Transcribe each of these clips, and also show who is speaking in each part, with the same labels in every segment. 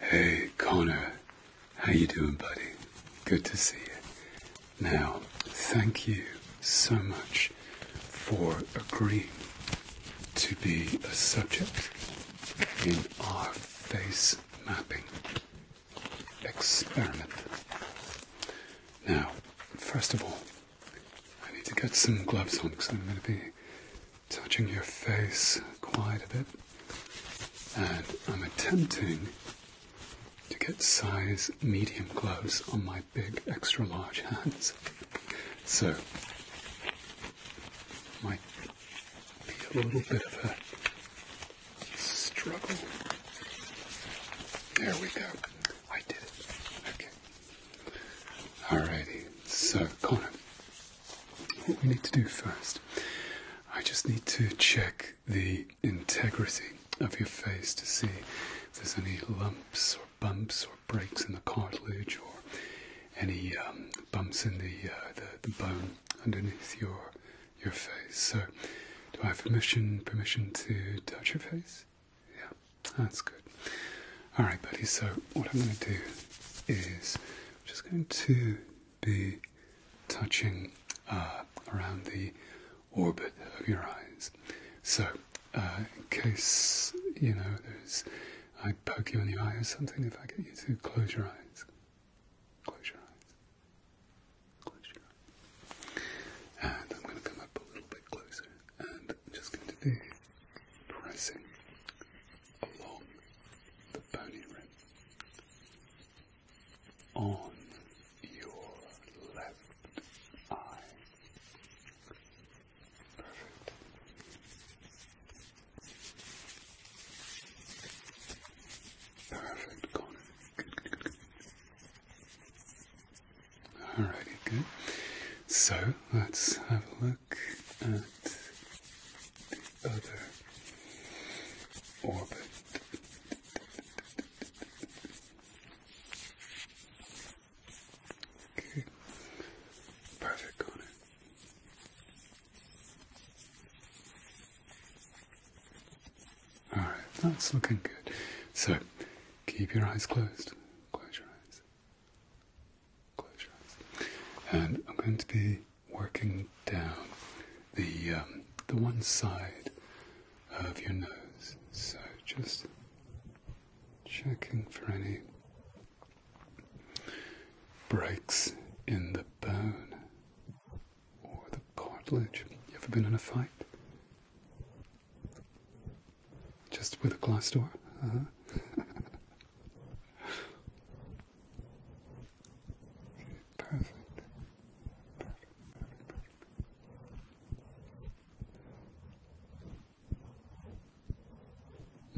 Speaker 1: Hey, Connor. How you doing, buddy? Good to see you. Now, thank you so much for agreeing to be a subject in our face mapping experiment. Now, first of all, I need to get some gloves on because I'm going to be touching your face quite a bit, and I'm attempting to get size medium gloves on my big extra large hands. So, might be a little bit of a struggle. There we go. I did it. Okay. Alrighty. So, Connor, what we need to do first, I just need to check the integrity of your face to see if there's any lumps or bumps or breaks in the cartilage or any um, bumps in uh, the, the bone underneath your your face. So, do I have permission permission to touch your face? Yeah, that's good. All right, buddy. So what I'm going to do is just going to be touching uh, around the orbit of your eyes. So, uh, in case you know there's, I poke you in the eye or something, if I get you to close your eyes, close your eyes, close your eyes, and I'm going to come up a little bit closer, and just going to be pressing along the bony rim on your left eye. Perfect. Perfect, Alrighty, good. So let's have a look at other orbit. Okay. Perfect on it. All right, that's looking good. So, keep your eyes closed. Close your eyes. Close your eyes. And I'm going to be working down the um, the one side of your nose. So just checking for any breaks in the bone or the cartilage. You ever been in a fight? Just with a glass door? Uh-huh. Perfect.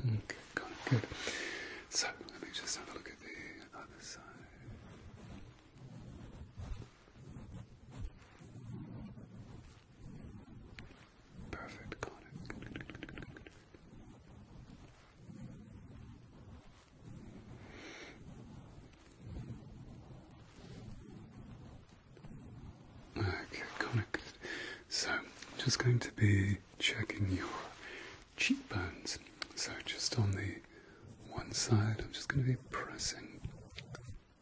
Speaker 1: Okay, Good. So let me just have a look at the other side. Perfect. Okay, connected. So, just going to be checking your cheekbones. So, just on the one side, I'm just going to be pressing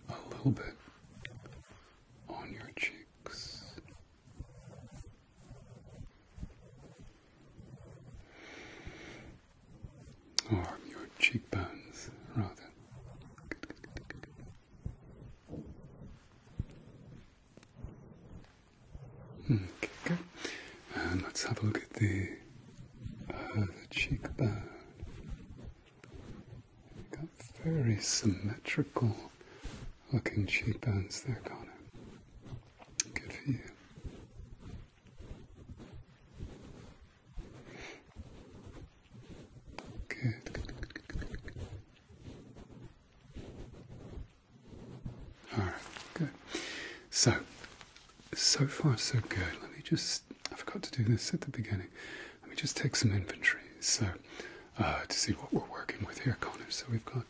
Speaker 1: a little bit on your cheeks. Or your cheekbones, rather. Okay, good. let's have a look at the cheekbone. You've got very symmetrical looking cheekbones there, Connor. Good for you. Good, All right, good. So, so far so good. Let me just, I forgot to do this at the beginning. Let me just take some inventory so uh, to see what we're working with here, Connor. So we've got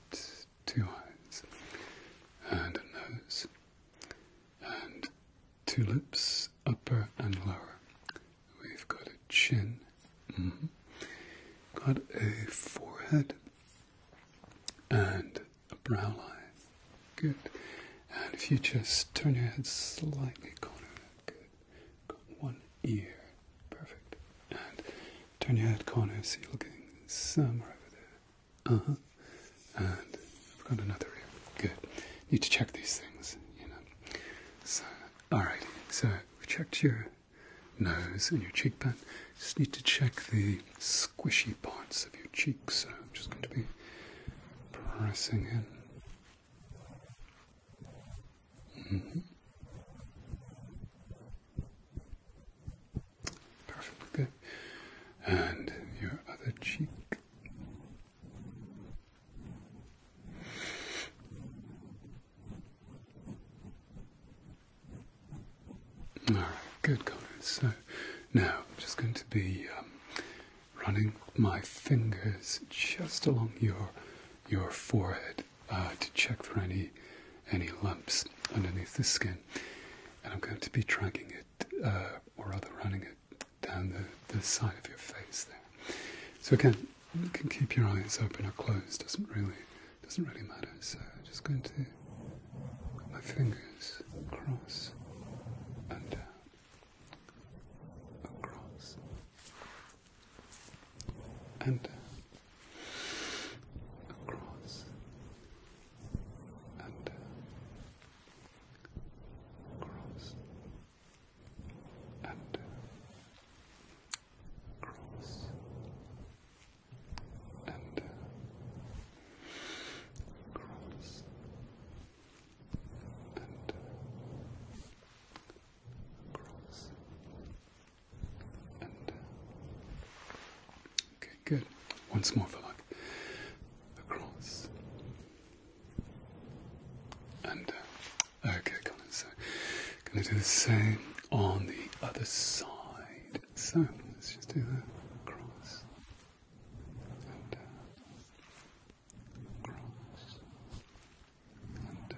Speaker 1: two eyes and a nose and two lips, upper and lower. We've got a chin, mm-hmm. got a forehead and a brow line. Good. And if you just turn your head slightly corner, good. Got one ear, perfect. And turn your head corner See, you're looking somewhere over there. Uh huh. And I've got another Good. Need to check these things, you know. So, alright. So, we checked your nose and your cheekbone. Just need to check the squishy parts of your cheeks. I'm just going to be pressing in. Mm -hmm. Perfect, good. And your other cheek. All right, good, Connor. So now I'm just going to be um, running my fingers just along your your forehead uh, to check for any any lumps underneath the skin, and I'm going to be dragging it uh, or rather running it down the, the side of your face there. So again, you can keep your eyes open or closed, doesn't really doesn't really matter. So I'm just going to put my fingers across and down. Across and Across and uh, cross and uh, cross and uh, cross and cross and okay good. Once more for luck. Across. And uh, Okay, Colin, so gonna do the same on the other side. So let's just do that. Across. And uh, Across. And uh,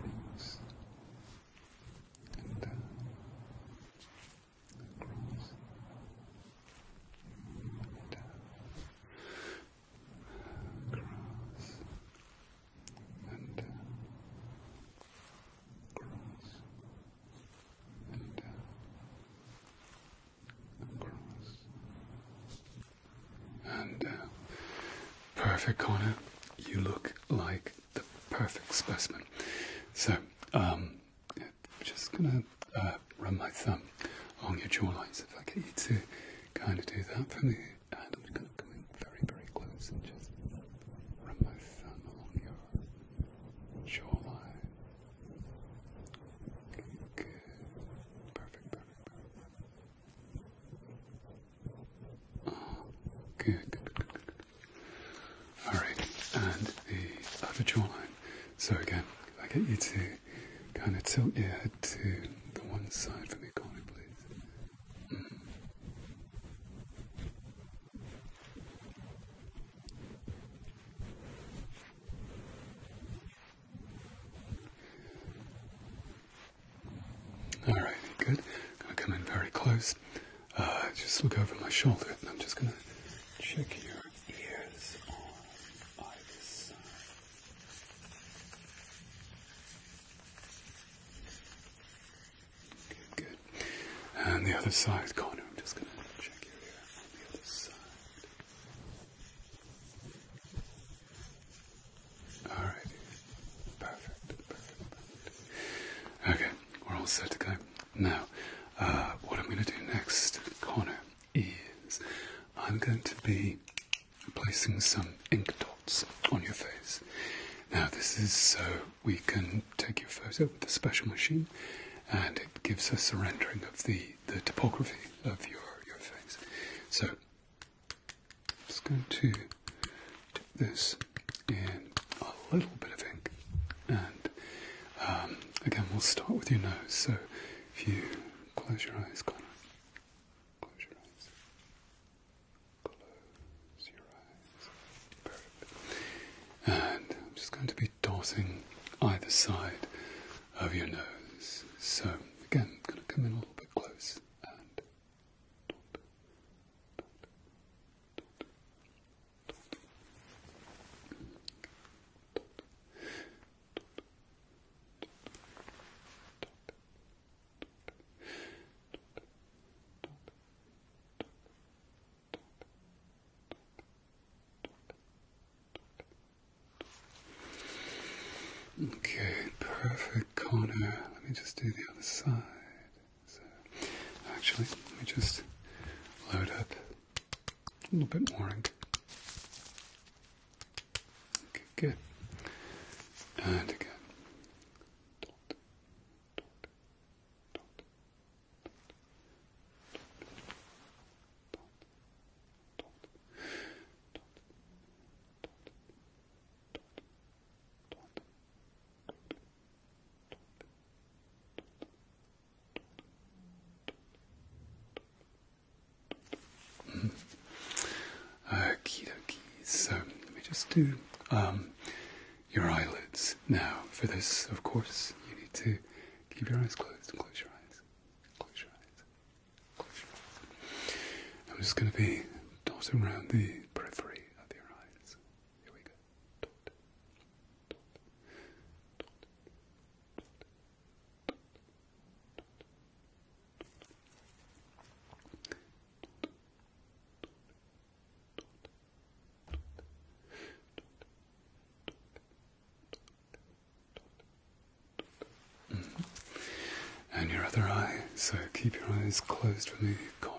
Speaker 1: Across. And and down, uh, across and down, across and down, across and down. Perfect, Connor. You look like the perfect specimen. So I'm um, just going to uh, run my thumb along your jawline. if I get you to kind of do that for me, and I'm just going to come very, very close and just run my thumb along your jawline. good. Perfect, perfect, perfect. Oh, good, good. All right, and the other jawline. So again, I get you to kind of tilt your head to the one side for me, Connie, please. Mm-hmm. All right, good. Gonna come in very close. Uh, just look over my shoulder and I'm just going to check your ears on either side. Good, And the other side, Connor, I'm just going to check your ears on the other side. Alrighty. perfect, perfect. Okay, we're all set to go. Now, uh, what I'm going to do next, Connor, is I'm going to be placing some ink dots on your face. Now, this is so we can take your photo with a special machine and it gives us a rendering of the, the topography of your, your face. So, I'm just going to dip this in a little bit of ink. And um, again, we'll start with your nose. So if you close your eyes, Connor. Close your eyes. Close your eyes. Perfect. And I'm just going to be dotting either side of your nose. So again, I'm going to come in a little bit close and dot, dot, dot, Okay, perfect corner. Let me just do the other side. So, actually, let me just load up a little bit more Okay, good. And again. Mm. Okie So let me just do um, your eyelids now. For this, of course, you need to keep your eyes closed. Close Close your eyes. Close your eyes. I'm just going to be dotting around the periphery of your eyes. Here we go. Mm-hmm. And your other eye, so keep your eyes closed for me, Connor.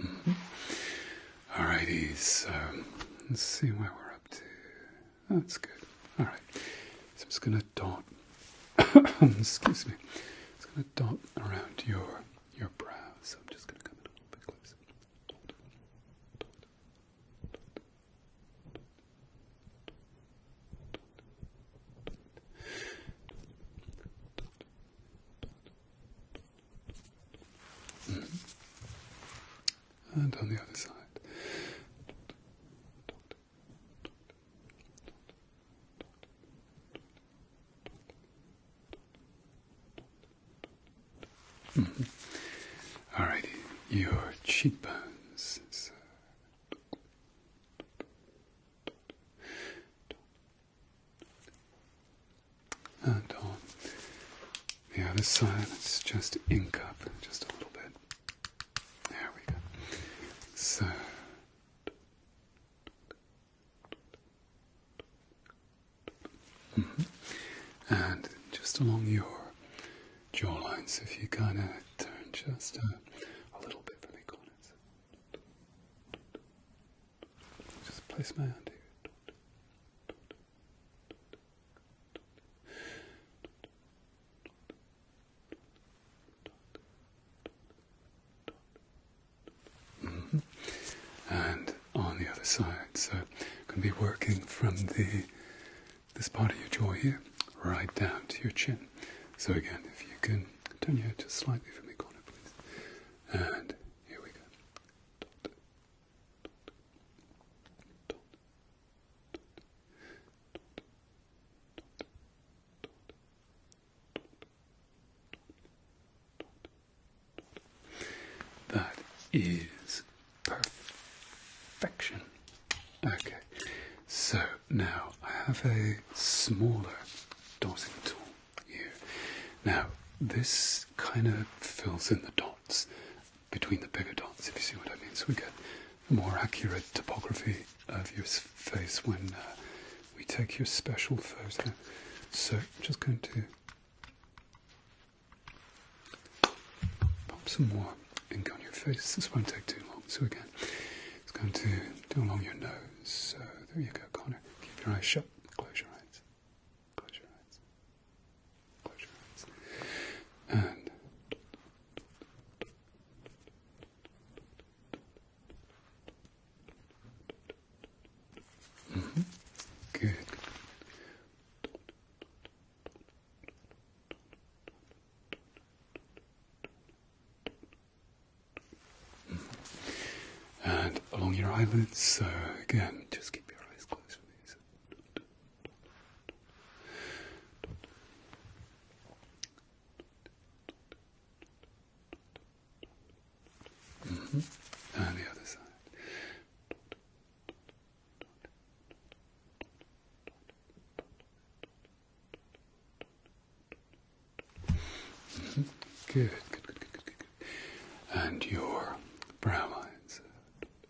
Speaker 1: Mm-hmm. All -hmm. let's see where we're up to. Oh, that's good. Alright, so I'm just going to dot, excuse me, I'm just going to dot around your your brow. So I'm just going to come in a little bit closer. Mm-hmm. And on the other side. Mm your cheekbones and on the other side, let's just ink up just a little bit. There we go. So. Mm-hmm. And just along your jawline, so if you kind of turn just a little bit from the corners, just place my hand here. Mm-hmm. And on the other side, so going to be working from the this part of your jaw here, right down to your chin. So again, if you can turn your head just slightly from the corner, please. And here we go. That is perfection. Okay, so now I have a smaller dotting tool here. Now, this kind of fills in the dot between the bigger dots, if you see what I mean. So we get a more accurate topography of your face when uh, we take your special photo. So I'm just going to pop some more ink on your face. This won't take too long. So again, it's going to do along your nose. So there you go, Connor. Keep your eyes shut. Close your eyes. Close your eyes. Close your eyes. And mm-hmm. good. Mm-hmm. And along your eyelids, again, just keep your eyes closed for me. Mm-hmm. And the other side. Mm-hmm. Good, good, good, good, good, good. And your brow lines.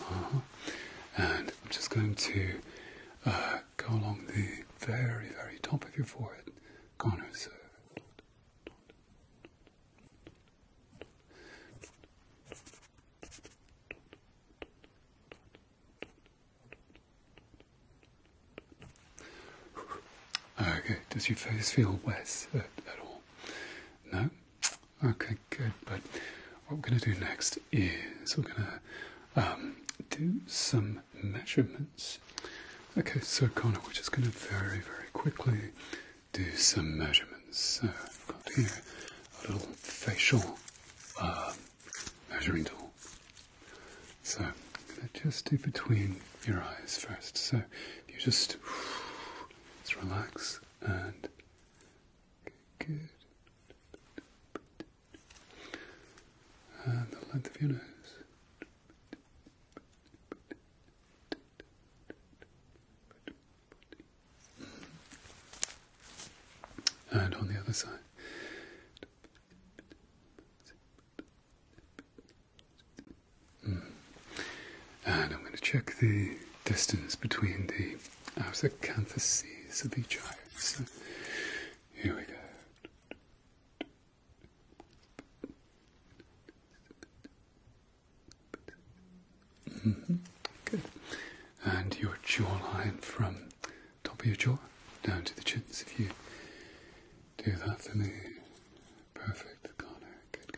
Speaker 1: Uh-huh. And I'm just going to uh, go along the very, very top of your forehead, corners. Okay, does your face feel wet at all? No? Okay, good. But what we're going to do next is we're going to um, do some measurements. Okay, so Connor, we're just going to very, very quickly do some measurements. So I've got here a little facial um, measuring tool. So I'm going to just do between your eyes first. So you just, just relax and and the length of your nose. And on the other side. Hmm. And I'm going to check the distance between the I was a canthus of the child. here we go. Mm-hmm. Good. And your jawline from top of your jaw down to the chin. if you do that for me, perfect. Connor. good.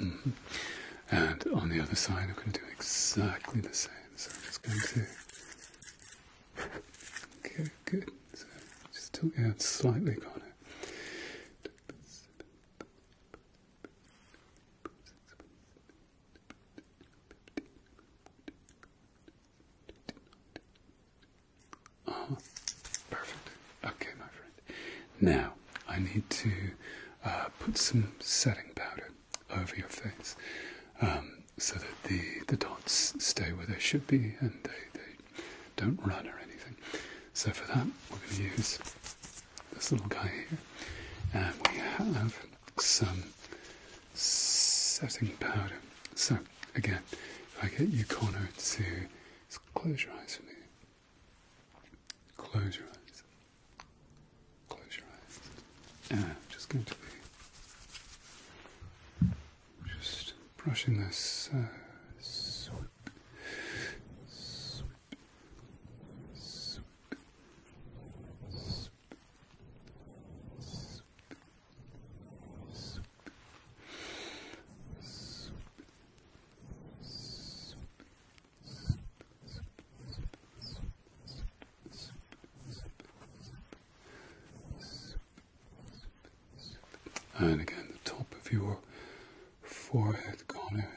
Speaker 1: Mm-hmm. And on the other side, I'm going to do exactly the same. So I'm just going to. okay, good. just tilt your head slightly, got uh-huh. perfect. Okay, my friend. Now I need to uh, put some setting powder over your face um, so that the the dots stay where they should be and they don't run or anything. So for that, we're going to use this little guy here, and we have some setting powder. So, again, if I get you, Connor, to close your eyes for me. Close your eyes. Close your eyes. I'm just going to be just brushing this. Uh, swoop, swoop, swoop, and again, the top of your forehead corner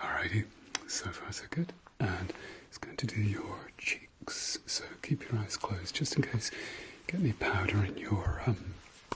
Speaker 1: Alrighty, so far so good. And it's going to do your cheeks, so keep your eyes closed just in case get any powder in your um,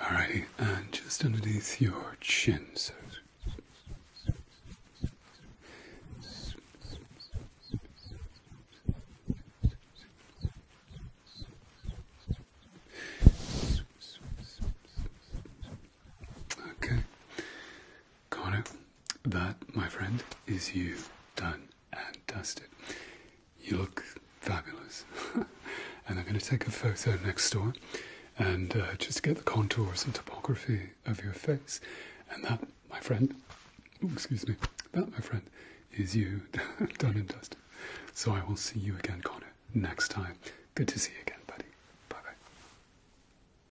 Speaker 1: Alrighty, and just underneath your chin. So. Okay. Got That, my friend, is you done and dusted. You look fabulous. and I'm going to take a photo next door and uh, just get the contours and topography of your face. And that, my friend, excuse me, that, my friend, is you done and dusted. So I will see you again, Connor, next time. Good to see you again, buddy. Bye bye.